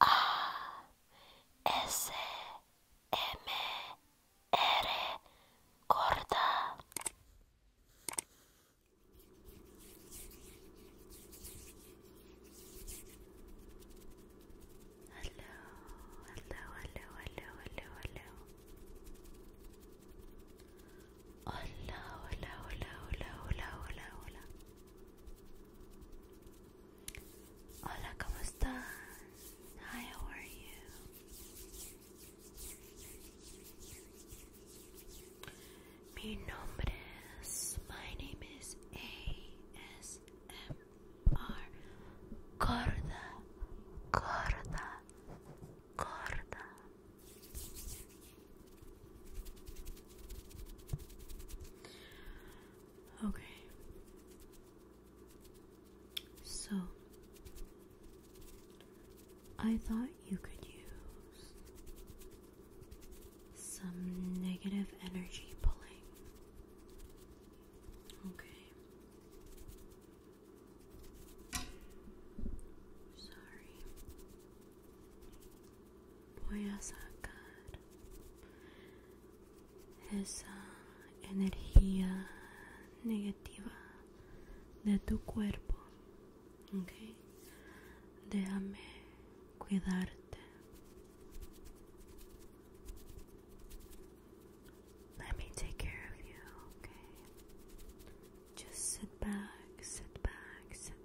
A S M R Corda. Hola, hola, hola, hello, hello, Hola, hola, hola, hola, hola, hola, hola. Hola, ¿cómo estás? Hi, how are you? Mi nombre es, my name is ASMR Gorda, Gorda, Gorda. Okay. So I thought you could use some negative energy pulling. Okay. Sorry. voy a sacar esa energía negativa de tu cuerpo ok déjame cuidarte let me take care of you okay just sit back sit back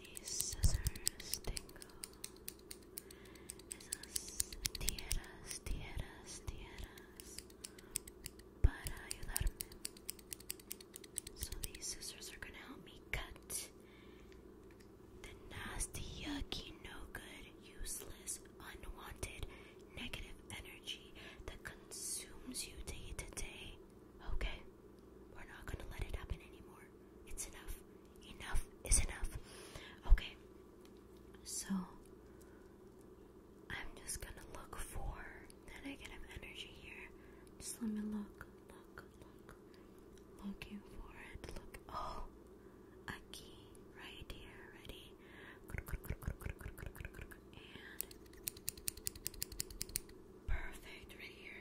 these scissors tingle. Esas tierras, tierras, tierras para ayudarme. So these scissors are gonna help me cut the nasty, yucky, no good, useless, unwanted, negative energy that consumes you day to day. Okay. We're not gonna let it happen anymore. It's enough. Enough is enough. Okay, so I'm just gonna look for that negative energy here. Just let me look, look, look. Looking for it. Look. Oh, a key right here. Ready? perfect right here.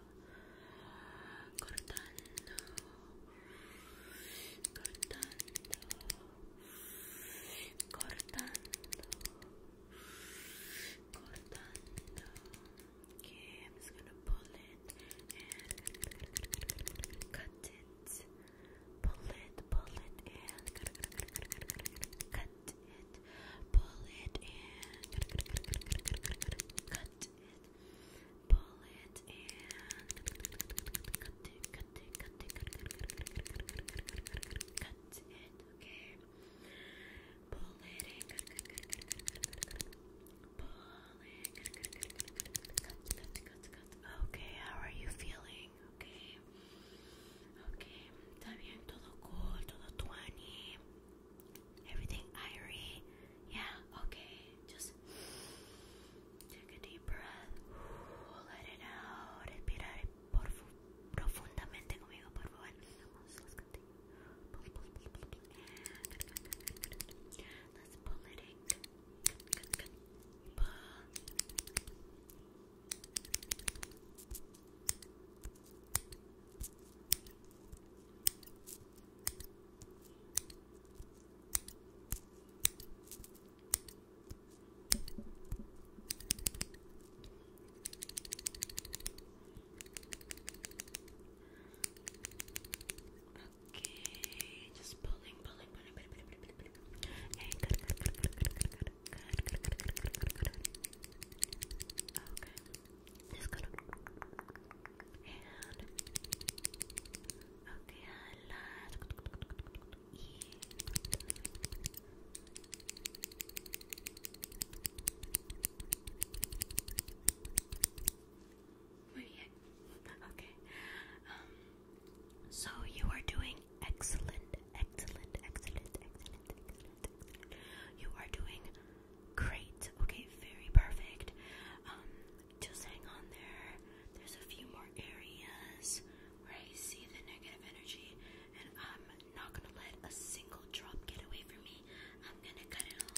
cortando, cortando, cortando, cortando. Okay, I'm just gonna pull it and cut it. Pull it, pull it, and cut it pull it and cut, cut, cut, cut, cut, cut, cut, cut, it, pull it cut, cut, cut, cut, cut, it, okay? Pull it and cut, cut, cut, cut, cut, cut, it, cut, cut, cut, cut, cut, cut, cut, cut, Okay, how are you feeling? Okay. Okay, está bien, todo cool, todo 20. Everything irie. Yeah, okay. Just take a deep breath. Let it out. Respirar profundamente conmigo, por favor. Okay, just pulling, pulling, pulling, pulling, pulling, pulling, pulling. Hey, good, good, good, good, good, good, good, good, good, good, good, good, good. Okay. Just gonna and okay, last yeah. Okay. Um. So you are doing excellent, excellent, excellent, excellent, excellent, excellent. You are doing Great. Okay, very perfect. Um, just hang on there. There's a few more areas where I see the negative energy, and I'm not gonna let a single drop get away from me. I'm gonna cut it all.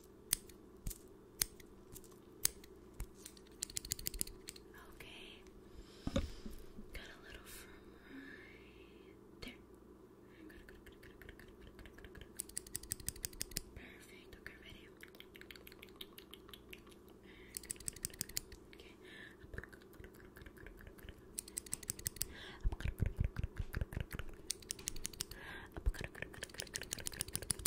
Okay. Got a little from there. Perfect. Okay, ready? Okay. Ok, perfecto, perfecto.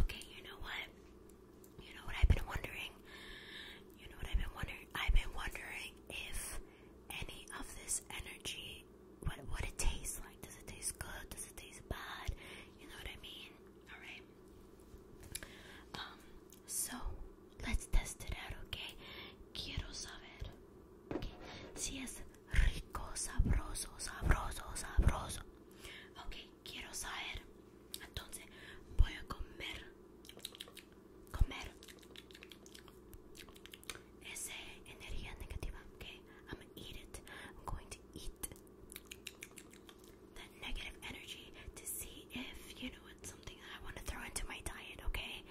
Okay, you know what? You know what I've been wondering? You know what I've been wondering? I've been wondering if any of this energy, what what it tastes like. Does it taste good? Does it taste bad? You know what I mean? All right. Um. So let's test it out, okay? Quiero saber. Okay. Si es rico, sabroso, sabroso, sabroso. Okay quiero saber. Entonces voy a comer, comer esa energía negativa. Okay, I'm gonna eat it. I'm going to eat that negative energy to see if you know it's something that I want to throw into my diet. Okay,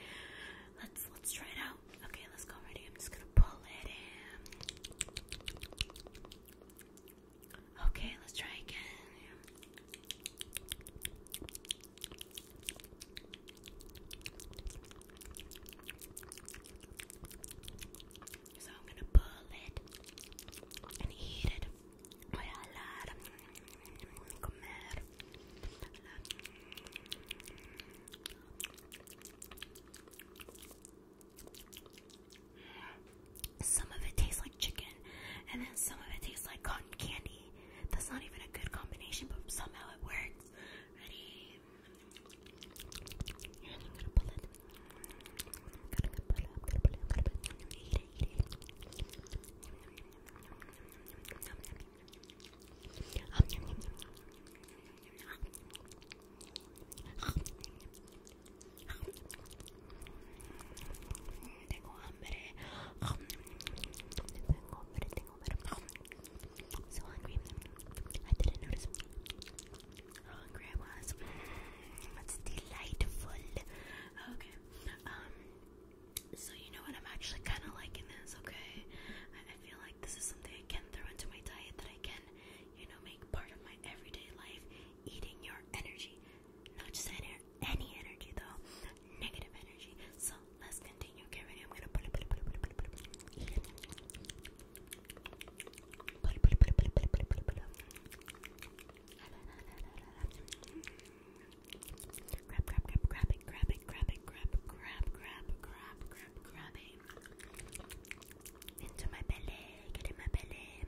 let's let's try it out. Okay, let's go. Ready? I'm just gonna pull it in. Okay, let's try again. So I'm gonna pull it and eat it. Voy a hablar, comer. Some of it tastes like chicken, and then some of it tastes like cotton candy. That's not even a good combination, but somehow it works. Tengo hambre. So hungry. I didn't notice how hungry I was. That's delightful. Okay. Um. So you know what? I'm actually kind of liking this. Okay. I, I feel like this is something I can throw into my diet that I can, you know, make part of my everyday life. Eating your energy. Not just any, energy though, negative energy. So let's continue. Okay, ready? I'm gonna put it, put it, put it, put it, put it, Put it, put it, put it, Grab, grab, grab, grab it, grab it, grab it, grab, grab, grab, grab, grab it. Into my belly, get in my belly.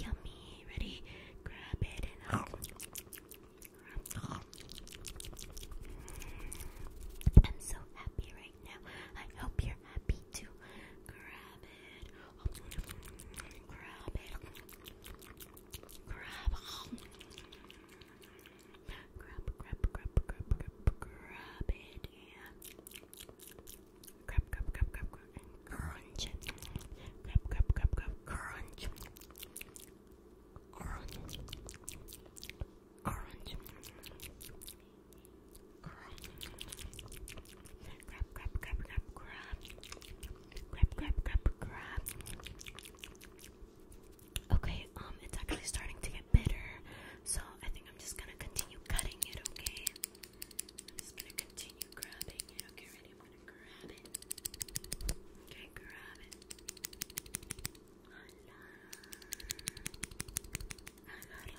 Yummy, ready? Grab it I'm so happy right now. I hope you're happy too. Grab it. Grab it. Grab. Grab, grab, grab, grab, grab, grab it and grab, grab, grab, grab, crunch. Grab, grab, grab, grab, crunch. Crunch. Crunch. Crunch. Okay, um, it's actually starting to get bitter, so I think I'm just gonna continue cutting it, okay? I'm just gonna continue grabbing it. Okay, ready? I'm gonna grab it. Okay, grab it. Voila. Agarra. Agarra.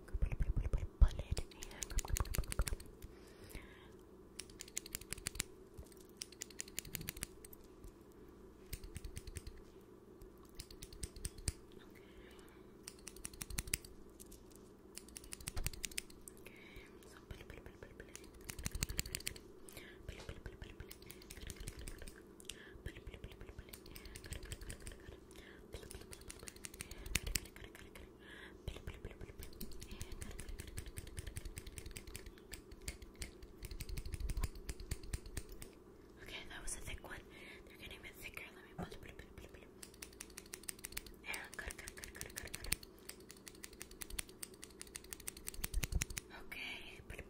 bullet and Okay. Okay. So, Okay, that was a thick one. They're getting a bit thicker. Let me put it. And cut, cut, cut, cut, cut, cut. Okay.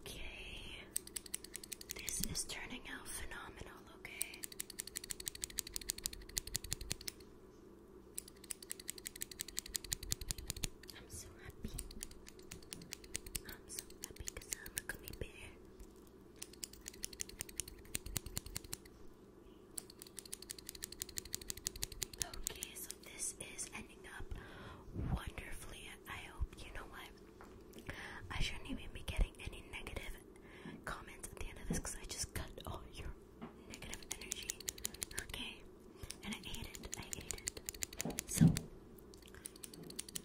Okay, this is turning out phenomenal, okay? I'm so happy. I'm so happy I'm a gummy bear. Okay, so this is ending up wonderfully. I hope you know what. I shouldn't even be getting any negative comments at the end of this because I just cut all your negative energy. Okay, and I ate it. I ate it. So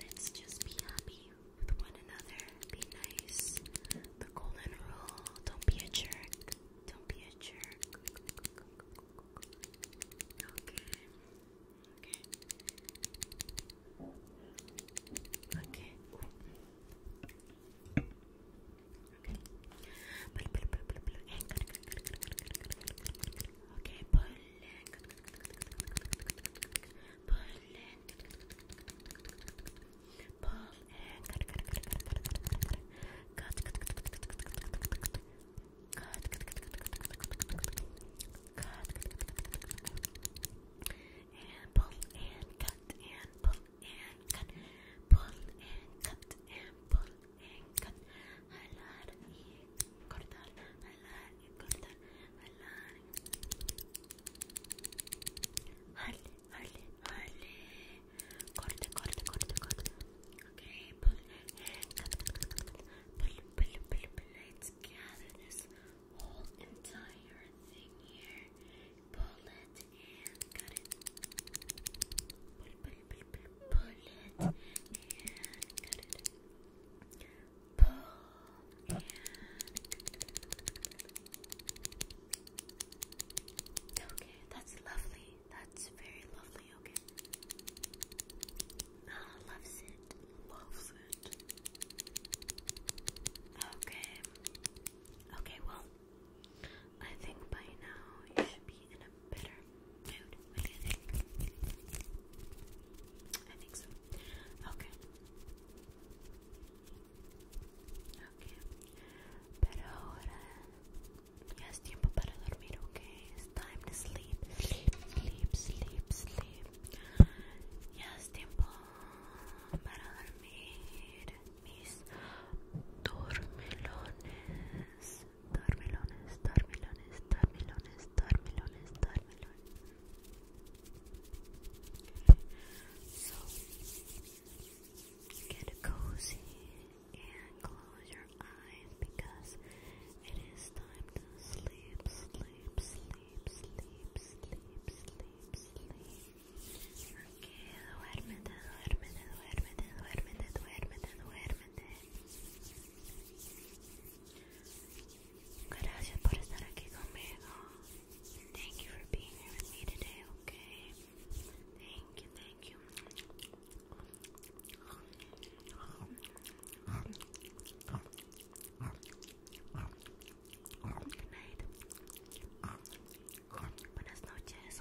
let's just be happy with one another. Be nice. The golden rule. Don't be a jerk. Don't be a jerk. Okay. Okay. Okay. Okay pull and pull and cut and pull and cut, pull and cut and pull and cut. I love you cortar, jalar, cortar, jalar. Harle, harle, harle. Corte, corte, corte, corte. Okay, cut, cut, cut, cut, cut. Pull, pull, pull, pull. Let's gather this whole Pull it and it. Pull, pull, pull, pull, pull it and it okay, that's lovely. That's very lovely. Okay, ah, loves it, loves it. Okay, okay. Well, I think by now you should be in a better mood. What do you think? I think so. Okay, Ok. Pero ahora ya es tiempo para dormir, ok? It's time to sleep. Sleep, sleep, sleep, sleep. Ya es tiempo para dormir, mis dormilones. Dormelones dormilones, dormilones, dormilones, dormilones. So get cozy and close your eyes because it is time to sleep, sleep, sleep, sleep, sleep, sleep, sleep. Okay, duérmete, duérmete, duérmete, duérmete, duérmete, duérmete. Thank you for being here with me today, okay? Thank you, thank you. Good night. Buenas noches.